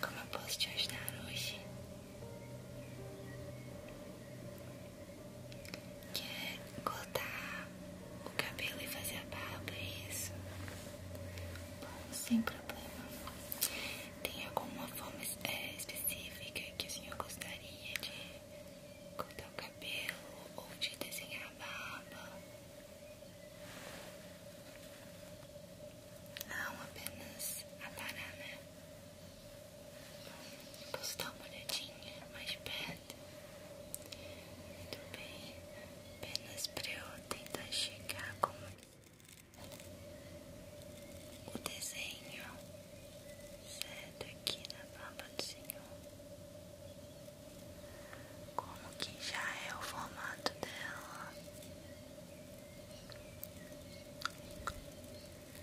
Como eu posso te ajudar hoje? Quer cortar o cabelo e fazer a barba, é isso? Bom, sem problema. Tem alguma forma é, específica que o senhor gostaria de cortar o cabelo ou de desenhar a barba? Não apenas a banana. Né? Posso dar uma olhadinha mais perto? Muito bem. Apenas pra eu tentar chegar como o desenho certo aqui na palma do Senhor como que já é o formato dela. O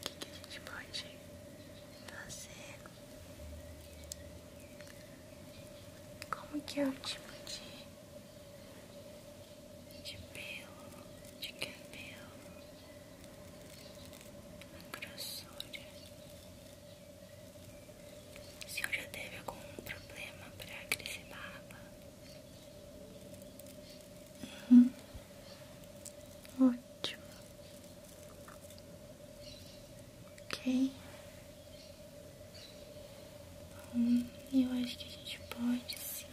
que, que a gente pode fazer? Como que é o tipo de, de de cabelo, a grossura? O senhor já teve algum problema para crescer barba? Uhum. Ótimo. Ok. Bom, eu acho que a gente pode assim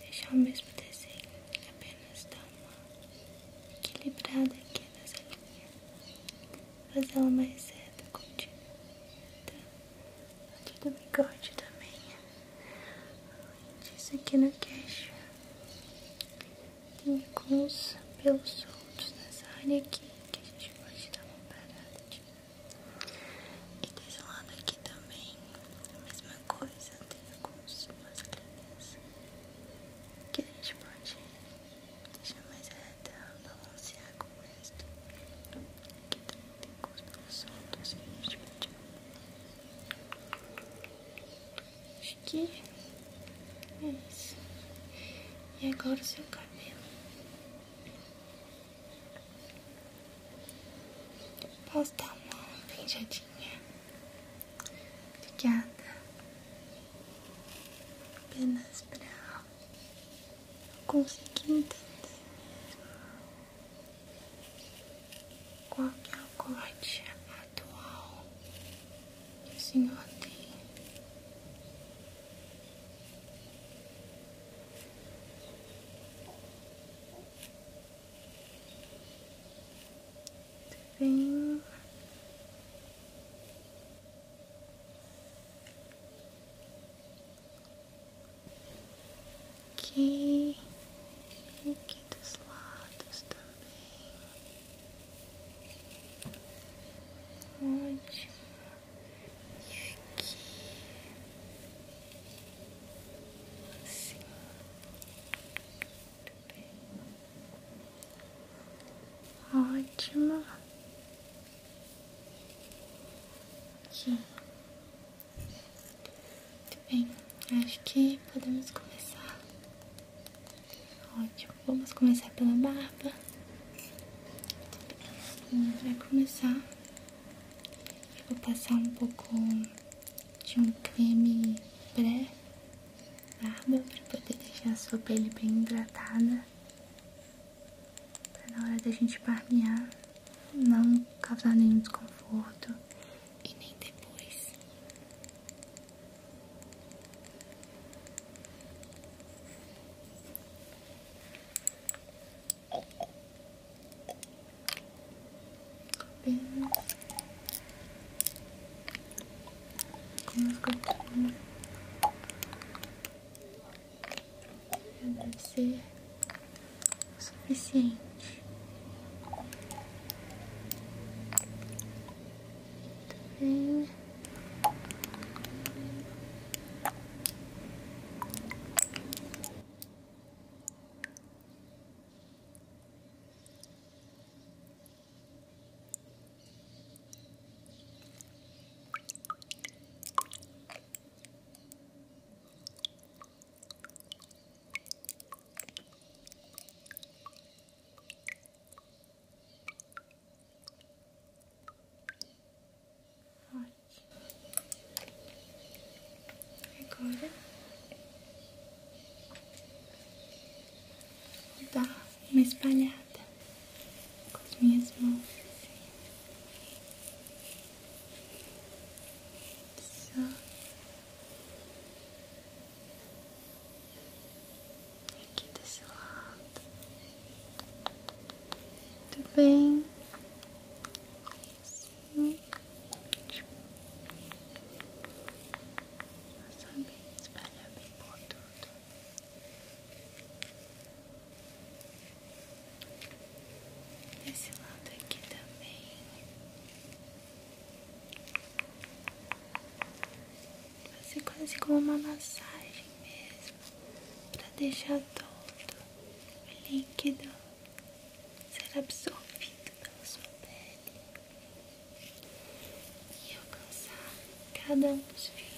deixar o mesmo desenho, apenas dar uma equilibrada aqui nessa linha fazer ela é mais cedo continua tá? aqui do bigode também isso aqui no caixa, tem alguns pelos soltos nessa área aqui que a gente pode dar uma parada de... e desse lado aqui também mesma coisa tem algumas linhas que a gente pode Deixa mais reta, é balancear é com o resto. Aqui também tem costas Acho que é isso. E agora o seu cabelo. Posso dar uma penjadinha? Obrigada. Apenas pra consegui entender qual é o corte atual que o senhor tem. Bem Aqui, aqui dos lados também. Ótimo. aqui. Assim. também ótima Aqui. Muito bem, acho que podemos começar. Ótimo, vamos começar pela barba. A gente começar. Eu vou passar um pouco de um creme pré-barba para poder deixar a sua pele bem hidratada. Pra tá na hora da gente barbear não causar nenhum desconforto e nem depois deve ser o suficiente. Muito Ancora. Ecco. Ecco. Da, mi sbagliate. com as aqui desse lado. Muito bem. Assim. Só bem espalhar bem esse lado aqui também. Fazer quase como uma massagem mesmo, para deixar todo o líquido ser absorvido pela sua pele e alcançar cada um dos fios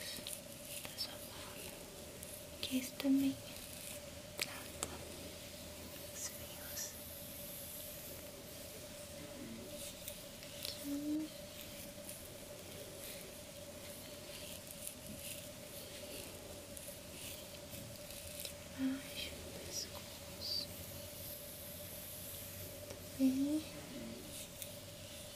da sua que esse também trata os fios. Aqui. Baixo do pescoço, tá bem?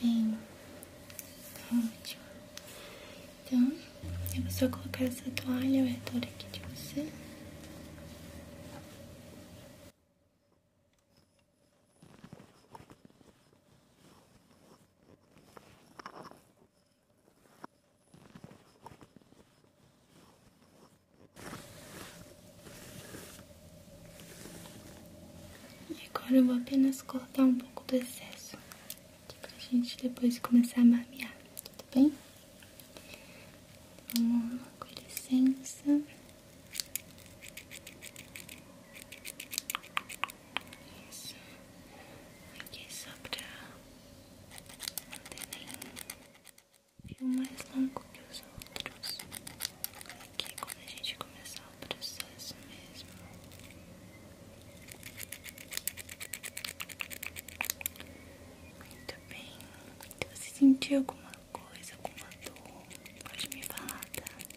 Muito bem. Tá ótimo. Então, eu vou só colocar essa toalha ao redor aqui de você. Agora eu vou apenas cortar um pouco do excesso, aqui pra gente depois começar a marmear, tudo bem? Vamos então, lá, com licença. Isso. Aqui só pra não ter nenhum fio mais longo que os outros. Aqui quando a gente começar processo mesmo. Muito bem. Se você sentir alguma coisa, alguma dor, pode me falar, tá? Aqui.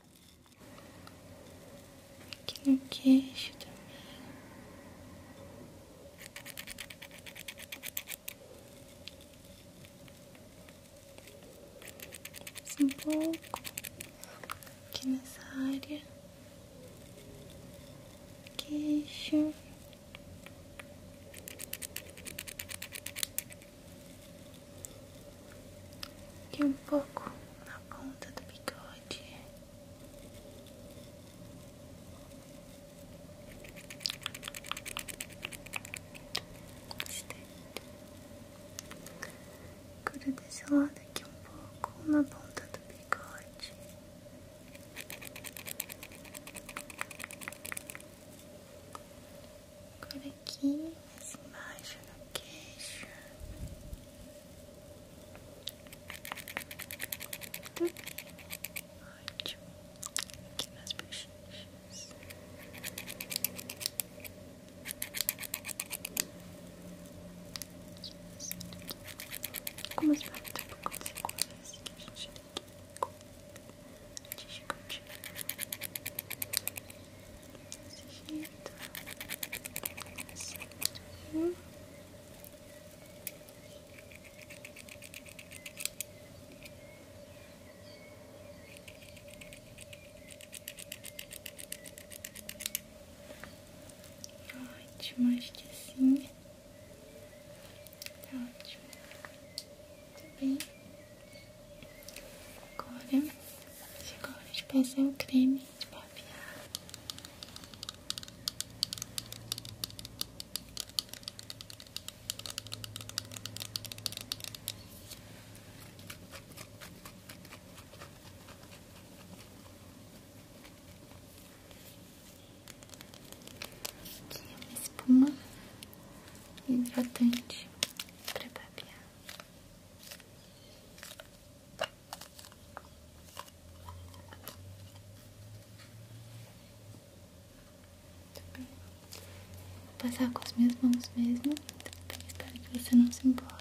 Aqui no é queixo também. um pouco aqui nessa área. Queixo e um pouco na ponta do bigode. Agora desse lado aqui um pouco na ponta do bigode. Agora aqui, mais embaixo no queixo. Muito bem, ótimo. Aqui nas bochechas. Como as palavras um pouco tipo, secundas que a gente tem que Desse jeito. Assim. Ótimo, acho que sim. Tá ótimo. Muito bem. Agora chegou a gente de passar o creme de barbear. Aqui é uma espuma hidratante para barbear. Vou passar com as minhas mãos mesmo. Bem, espero que você não se importe.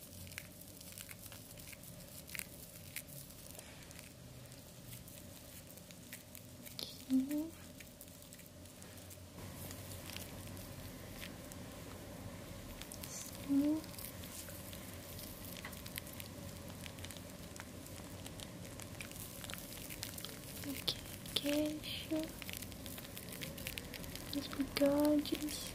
Aqui. Assim. Aqui, queixo, os bigodes.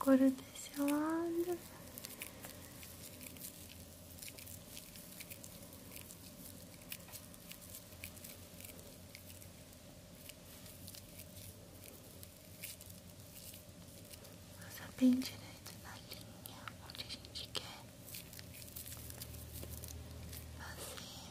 Agora desse lado. Passa bem direito na linha onde a gente quer assim.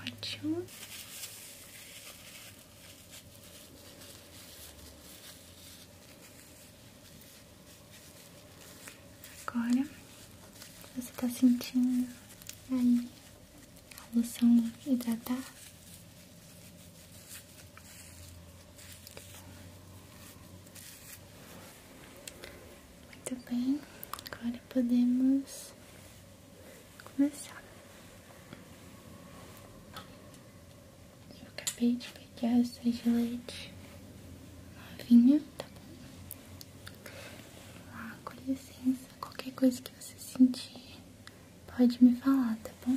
Ótimo. Agora você está sentindo aí a loção hidratar? Muito bem, agora podemos começar. Eu acabei de pegar essa de leite novinha, tá bom? Lá, com licença, qualquer coisa que você sentir, pode me falar, tá bom?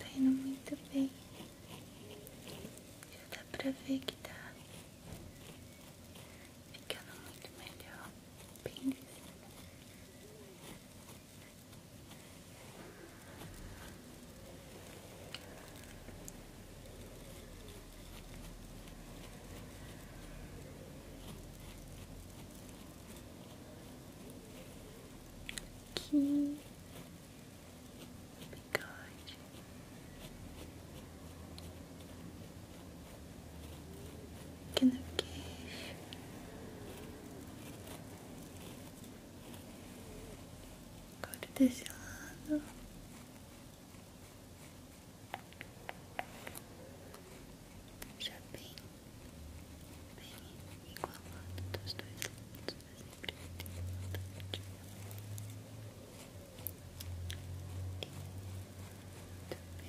Tá indo muito bem. Já dá pra ver que tá ficando muito melhor. Bem que? bigode. Que no queixo. Agora desse lado. Já bem, bem igualado dos dois lados, sempre assim, importante. E também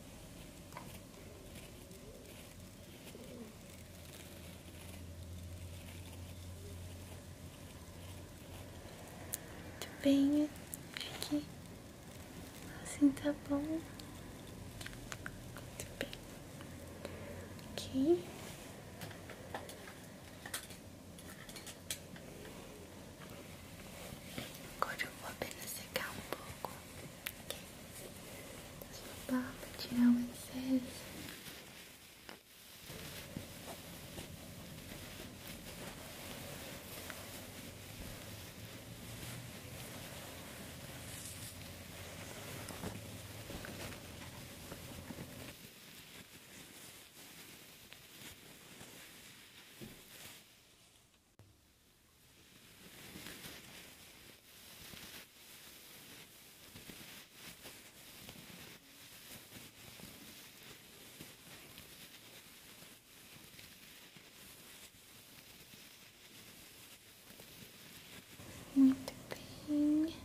Muito bem, aqui assim tá bom. Muito bem. Ok. Agora eu vou apenas secar um pouco, ok? Da sua barba, tirar o excesso. Agora muito bem.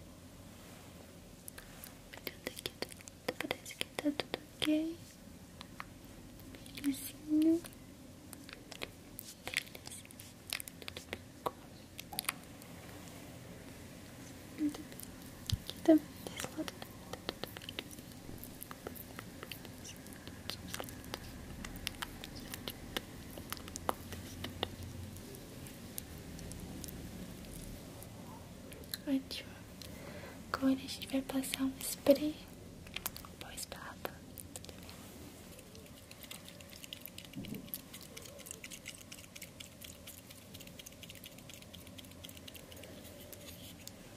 Tudo aqui, tudo, parece que tá tudo ok. Belezinho. Muito bem. Aqui também, desse lado tá Ótimo. Agora a gente vai passar um spray Pois papa, tudo bem?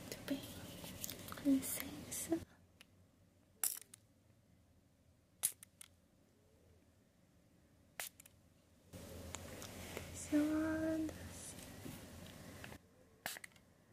Muito bem, com licença. Atenção,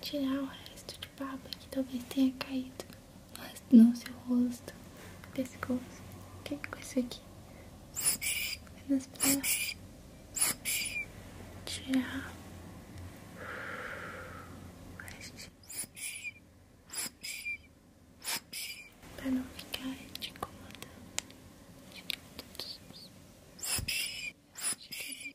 Tirar o resto de baba que talvez tenha caído no seu rosto, pescoço. O que é com isso aqui? Apenas pra tirar. para não ficar te incomodando. Acho que é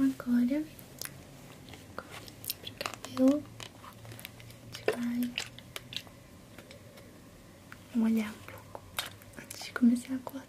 Agora, agora pro cabelo, a gente vai molhar um pouco antes de começar a cortar.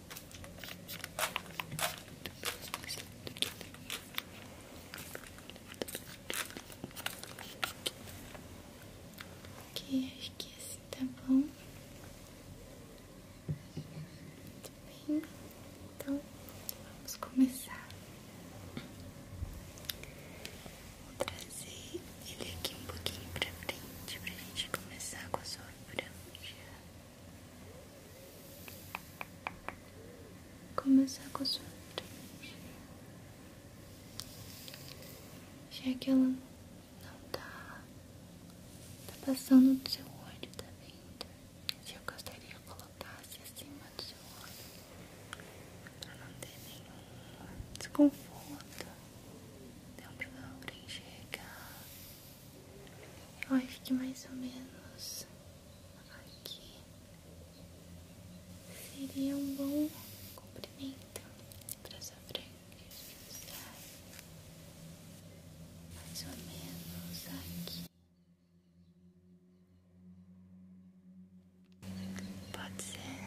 Ok, acho que assim tá bom. Muito bem, então vamos começar. Vou trazer ele aqui um pouquinho pra frente pra gente começar com a sua franja. Começar com a sua frente, já que ela não tá, tá passando do seu olho, tá vendo? Se eu gostaria que colocasse acima do seu olho, pra não ter nenhum desconforto, não um problema pra eu acho mais ou menos aqui seria um bom comprimento para essa franquia. Mais ou menos aqui. Pode ser.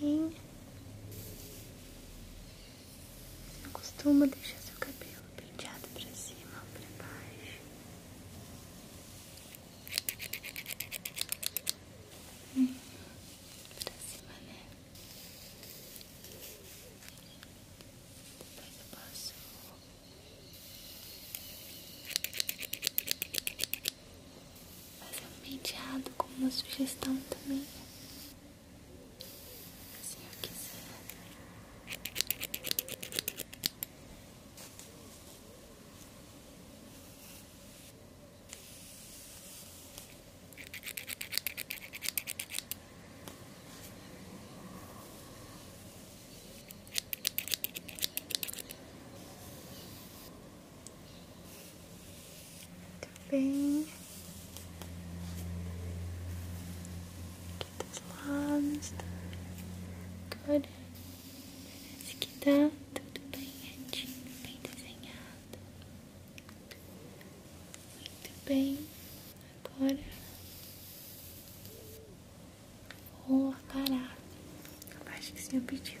Bem. Eu deixar seu cabelo penteado pra cima, ou pra baixo. Hum, pra cima, né? Depois eu posso Fazer é um penteado como uma sugestão também. Se eu quiser. Muito tá bem. Aqui dos lados. Tá? Agora parece que tá tudo bem retinho, bem desenhado. Muito bem. Agora o pará, parada. Eu acho que o senhor pediu.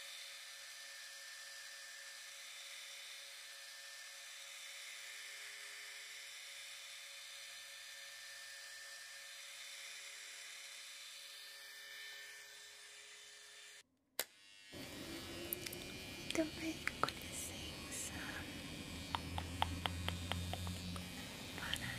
Muito então, bem, com Para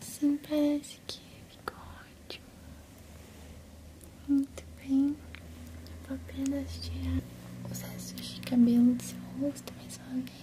Assim parece que ficou é ótimo. Muito bem. vou apenas tirar os restos de cabelo do seu rosto mais uma vez.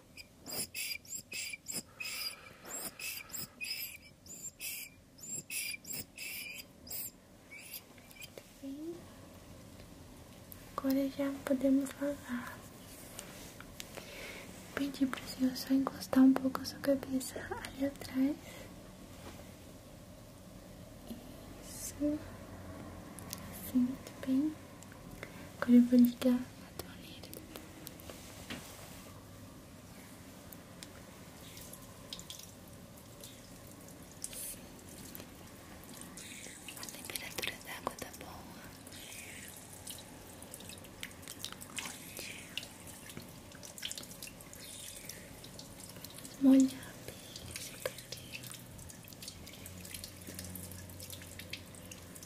Agora já podemos falar Pedi pro senhor só encostar um pouco a sua cabeça ali atrás. Isso. Assim, muito bem. Agora eu vou a torneira. A temperatura da água tá boa. Molhar bem esse cabelo.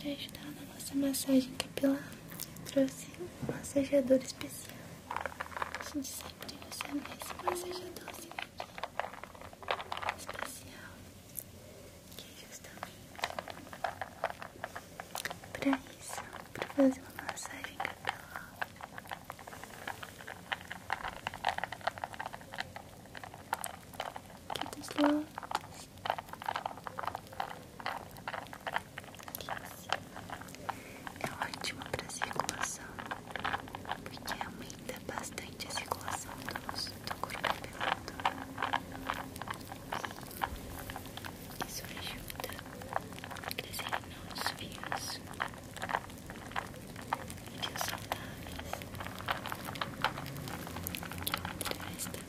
Para ajudar na nossa massagem capilar, trouxe um massageador especial. A gente sempre usa é esse massageadorzinho aqui especial que é justamente para isso, para fazer uma massagem capilar. Aqui dos lados, aqui em cima. É ótimo para circulação, porque é uma ainda é bastante a circulação do corpo pelado. Isso ajuda a crescer novos fios, saudáveis, que traz também.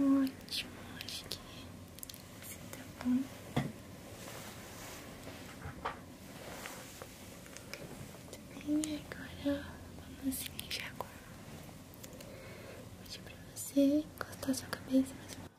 Ótimo, acho que assim tá bom. Muito bem, agora vamos iniciar agora Vou pedir pra você encostar sua cabeça mais um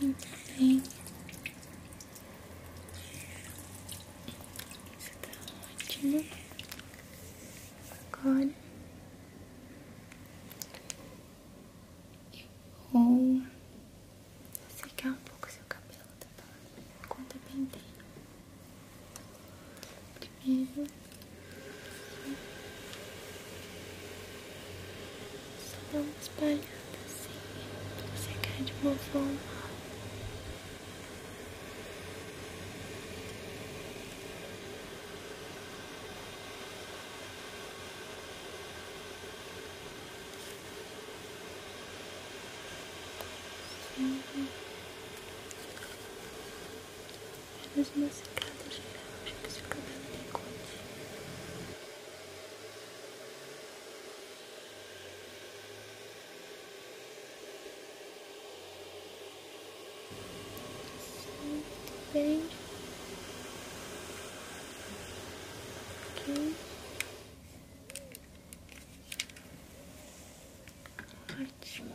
Muito bem. Isso tá ótimo. Agora eu vou secar é um pouco seu cabelo, tá bom? Conta bem bem. Primeiro. Só dá uma assim pra secar de uma forma apenas uma secada geral, já que seu de tem cor. Muito bem. Ok. Ótimo.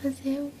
Pra gente fazer o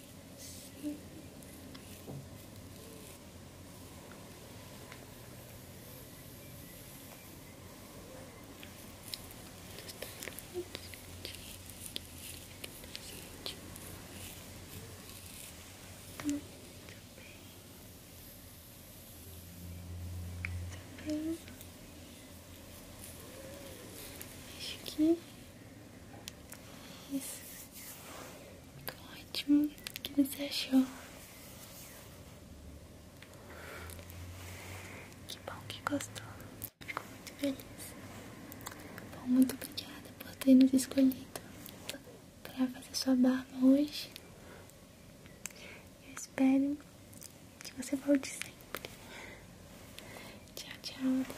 Muito bem. Muito bem. Acho que é isso. Muito ótimo. O que você achou? Que bom que gostou. Fico muito feliz. Bom, muito obrigada por ter nos escolhido para fazer sua barba hoje. Eu espero que você volte sempre. Tchau, tchau.